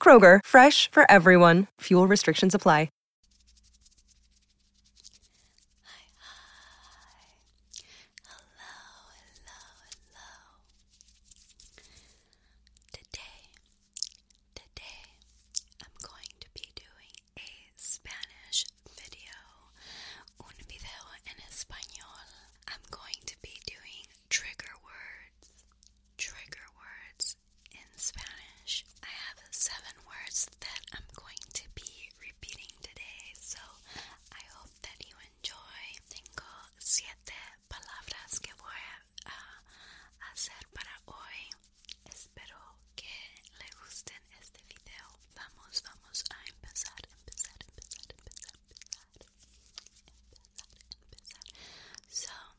Kroger, fresh for everyone. Fuel restrictions apply. Hello, hello, hello. Today, today, I'm going to be doing a Spanish video. Un video en español. I'm going to be doing trigger words trigger words in Spanish. I have seven words that I'm going to be repeating today, so I hope that you enjoy. Tengo siete palabras que voy a uh, hacer para hoy. Espero que le gusten este video. Vamos, vamos a empezar, empezar, empezar, empezar, empezar, empezar, empezar. So,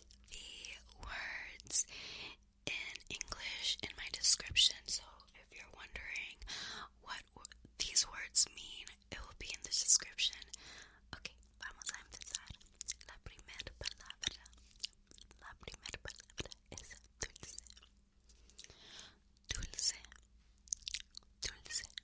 the words in English in my description. So if you're wondering what these words mean, it will be in the description. Okay, vamos a empezar. La primera palabra, la primera palabra es dulce. Dulce, dulce,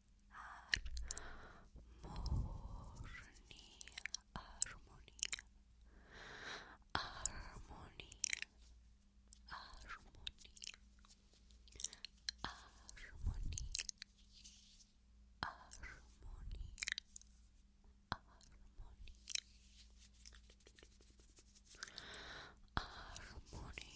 Harmonia, harmonia, harmonia, harmonia, harmonia, harmonia, harmonia. Harmonia,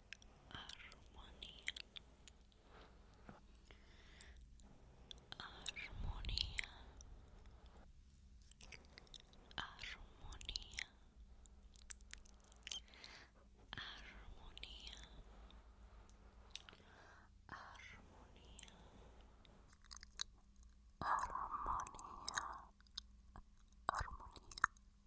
armonía armonía armonía armonía armonía armonía armonía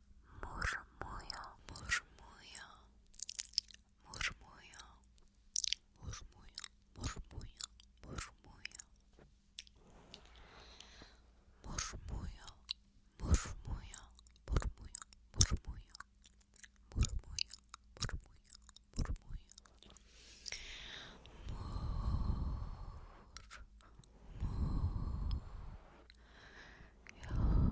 murmullo, murmullo, murmullo, murmullo, murmullo, murmullo, murmullo, murmullo, murmullo, murmullo, murmullo, murmullo, murmullo, murmullo. Yo,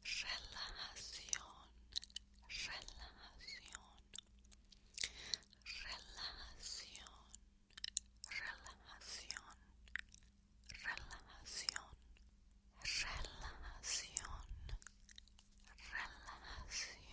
relación, relación, relajación, relajación, relajación, relajación, relajación, relajación.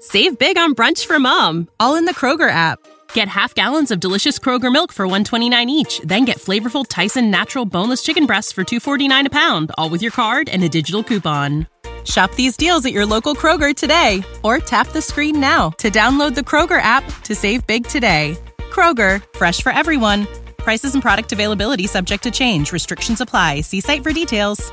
Save big on brunch for mom, all in the Kroger app. Get half gallons of delicious Kroger milk for 129 each, then get flavorful Tyson natural boneless chicken breasts for 249 a pound, all with your card and a digital coupon. Shop these deals at your local Kroger today or tap the screen now to download the Kroger app to save big today. Kroger, fresh for everyone. Prices and product availability subject to change. Restrictions apply. See site for details.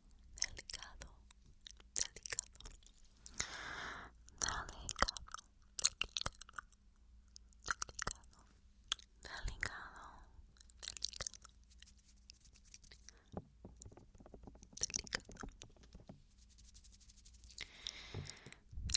delicado, delicado, delicado, delicado, delicado, delicado, delicado. Delicado, delicado,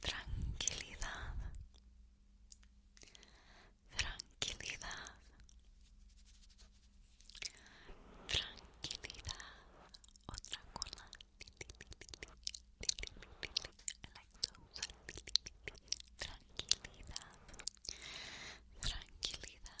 Tranquilidad. Tranquilidad. Tranquilidad. Otra cola. Tranquilidad. Tranquilidad. Tranquilidad.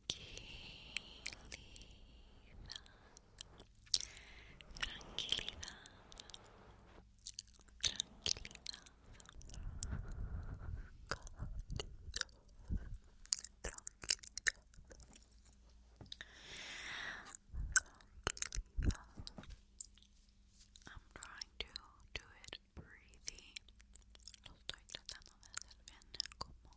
Tranquilidad, tranquilidad, tranquilidad, tranquilidad. I'm trying to do it breathy. Lo estoy tratando de hacer bien como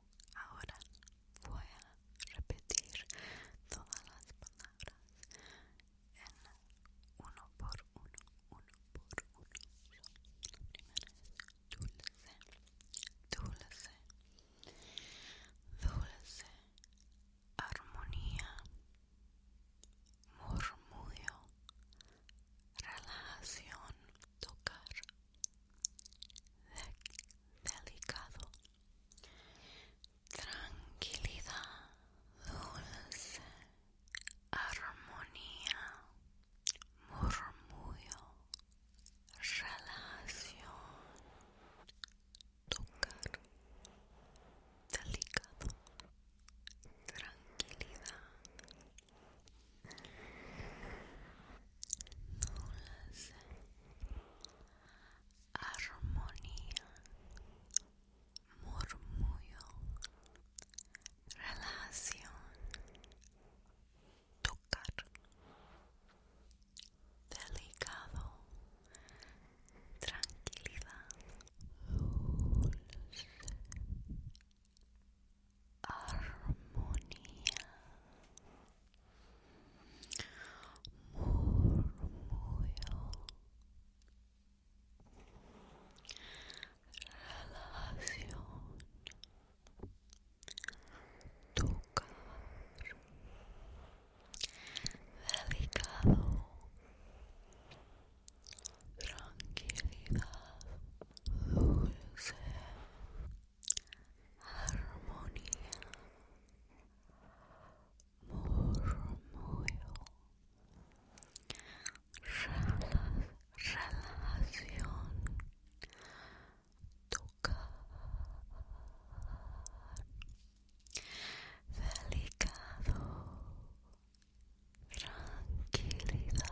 ahora voy a repetir todas las palabras en uno por uno, uno por uno. Primero es dulce, dulce, dulce, armonía, murmullo, relajación, tocar, delicado tranquilidad, dulce, armonía, murmullo, relación, tocar, delicado, tranquilidad, dulce armonía, murmullo, relación, tocar, delicado, tranquilidad, armonía murmullo Relación tocar delicado tranquilidad dulce armonía, murmullo, relación, tocar, delicado, tranquilidad.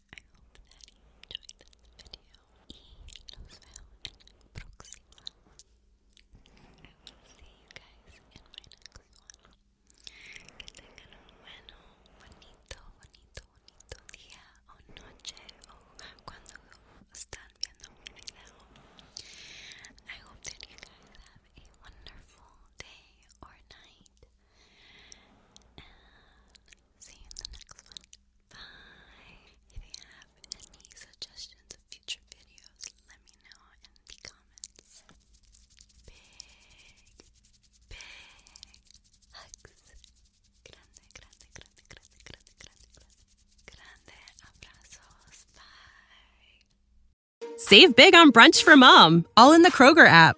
I hope that you enjoyed this video y los veo en próxima I will you guys in my next Que tengan un bueno, bonito, bonito, bonito día o noche o cuando están viendo mi video I hope that you guys have a wonderful day or night see you in the next one. Bye. If you have any suggestions of future videos, let me know in the comments. Big, big hugs. grande, grande, grande, grande, grande, grande. Grande abrazos. Bye. Save big on brunch for mom, all in the Kroger app.